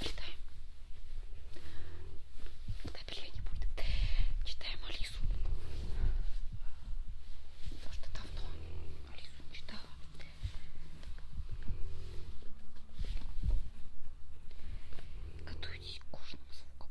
Читаем. Капелья не будет. Читаем Алису. Потому что давно Алису не читала. Готовьтесь к кожным звукам.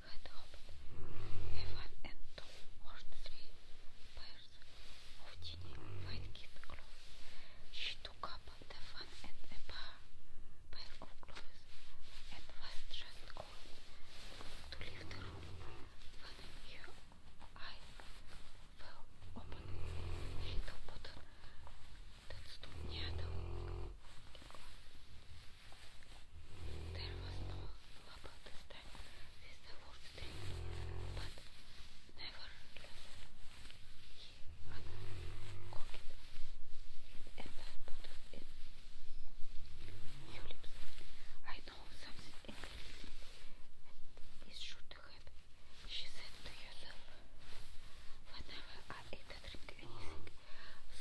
had hoped heaven and two or three pairs of tiny white kid clothes. She took up the fan and a pair, pair of and was just going to leave the room when fell open. Little button that stood near there was no bubble this time. This is the fourth thing. But nevertheless, he uncorked put in your lips. I know something interesting. It should happen, she said to herself. Whenever I eat or drink anything,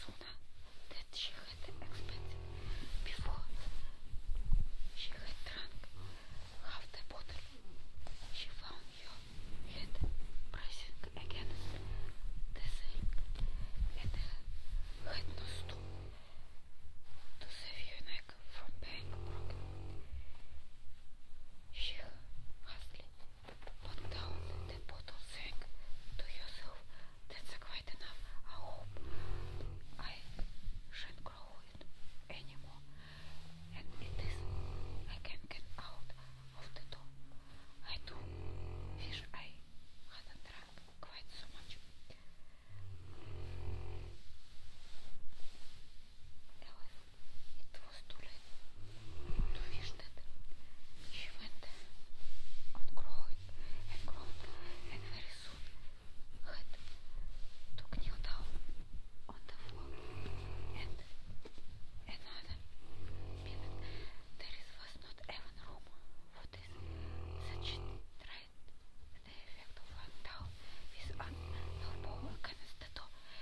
Суна. That she had expected before. She had drunk half the bottle. She found your head pressing against the sink and had no stool to save your neck from being broken. She hastily But down the bottle sank to yourself. That's quite enough. I hope I shan't grow it anymore. And it is I can get out of the door. I do wish I hadn't drunk quite so much. Alice, it постулен. Довиждат. She went on growing and growing and very soon had to kneel down on the floor and another minute. There is, was not even room for this. Such tried the effect of one down with an elbow against the door.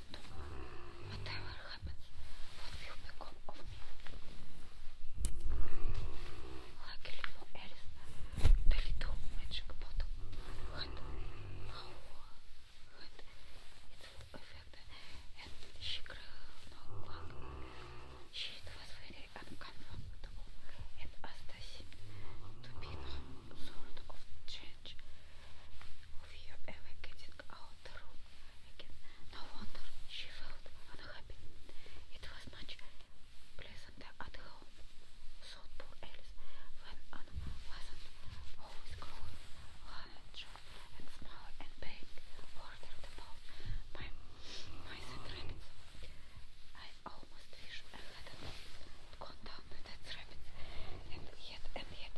second, whatever happens, what will become of me? Luckily for Alice, the little magic bottle had power, had its full effect, and she grew no back. She was very uncomfortable, and Asta seemed to be some sort of change of her ever out the no wonder she felt unhappy. It was much pleasanter at home, thought poor Alice, when one wasn't always growing large and small and being ordered I almost wish I hadn't gone down that rabbit, and yet, and yet,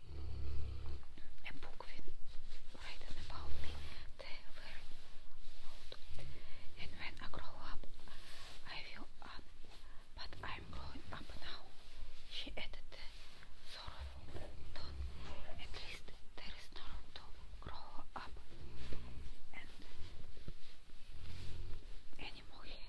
En boek vind written about me. They were old. And when I grow up, I will on. But I'm growing up now. She added the sorrowful tone. At least there is no room to grow up. And anymore.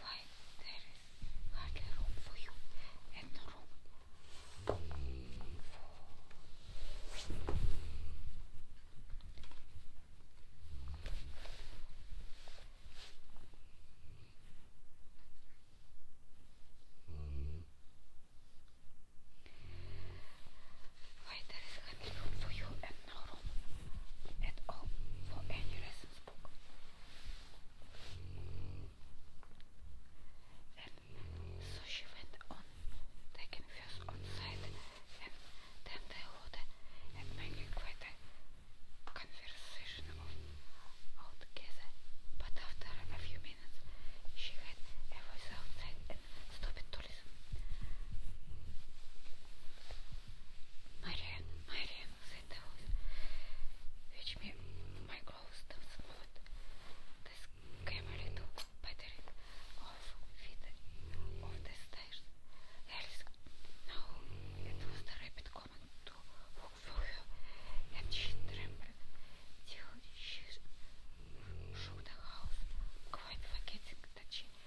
Why there is hardly room for you and room for why there is hardly room for you no all for any reference so she went on taking first outside and then the water and making quite a conversation of altogether. But after a few minutes she had a voice outside and stopped talking sorry. My hand, my hand was which made my clothes to smooth. This camera took better off the stairs. Else, now it was the rabbit coming to look for her, and she trembled till she shook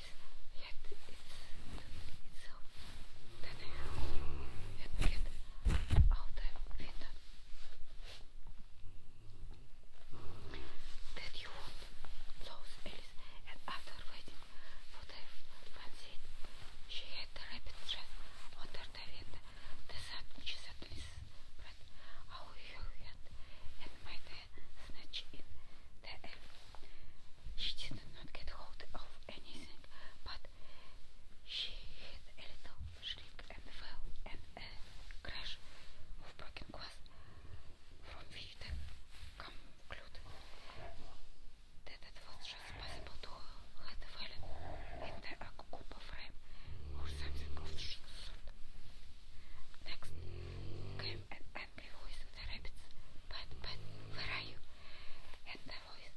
that you would lose Alice and after waiting for the one she had the rabbit dress under the window the sun she suddenly spread out her hand and made energy in the air. She did not get hold of anything, but she hit a little shriek and fell, and a crash of broken glass, from which the concluded that it was just possible to let fallen in the Akukupa frame or something of the sort. Next came an angry voice of the rabbits. But, but, where are you? And the voice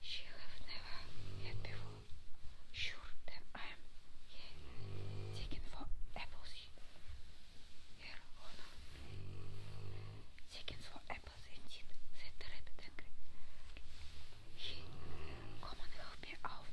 she have never had before. Sure that I am yeah, taken for apples here, honor. Taken for apples indeed, said the rabbit angry. He, come and help me out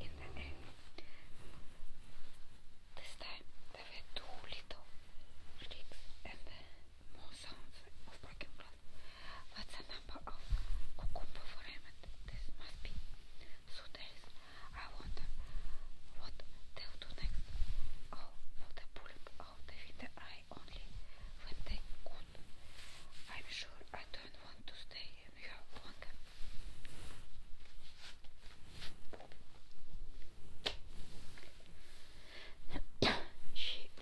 in the end. This time there were two little sticks and more sounds of broken What's the number of Kukumba for Raymond? This must be. So there is. I wonder what they'll do next. Oh, the pulling out the window eye only when they could. I'm sure I don't want to stay here she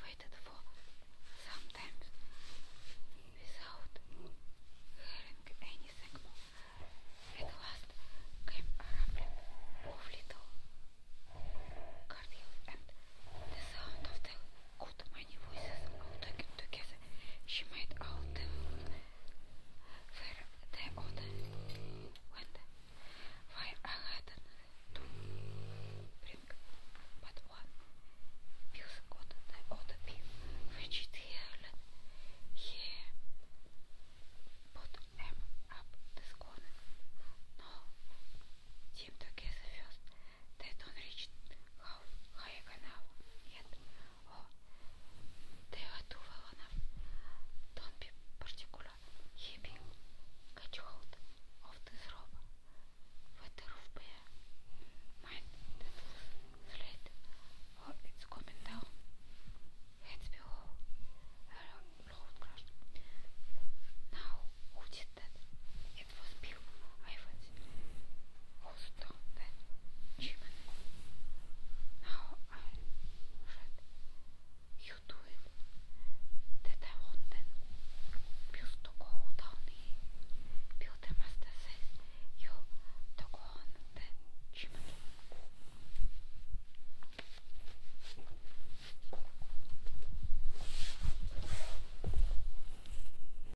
waited for sometimes without hearing anything more. At last came a rumbling of little cartwheels and the sound of the good many voices all talking together. She made out the were the order went, while I had to bring but one. Bills got the other bill, which it held here. Put them up this corner. No, team together first. They don't reach how high an yet. 대화두와 원함 던비 particular heaping catchhold of this robe weather of bear mind that was slid or it's coming down heads below a load crushed now who did that? it was Bill Ivans hold on that human. Now I read you do it that I wanted Bill to go down here. Bill the master says you to go on that human.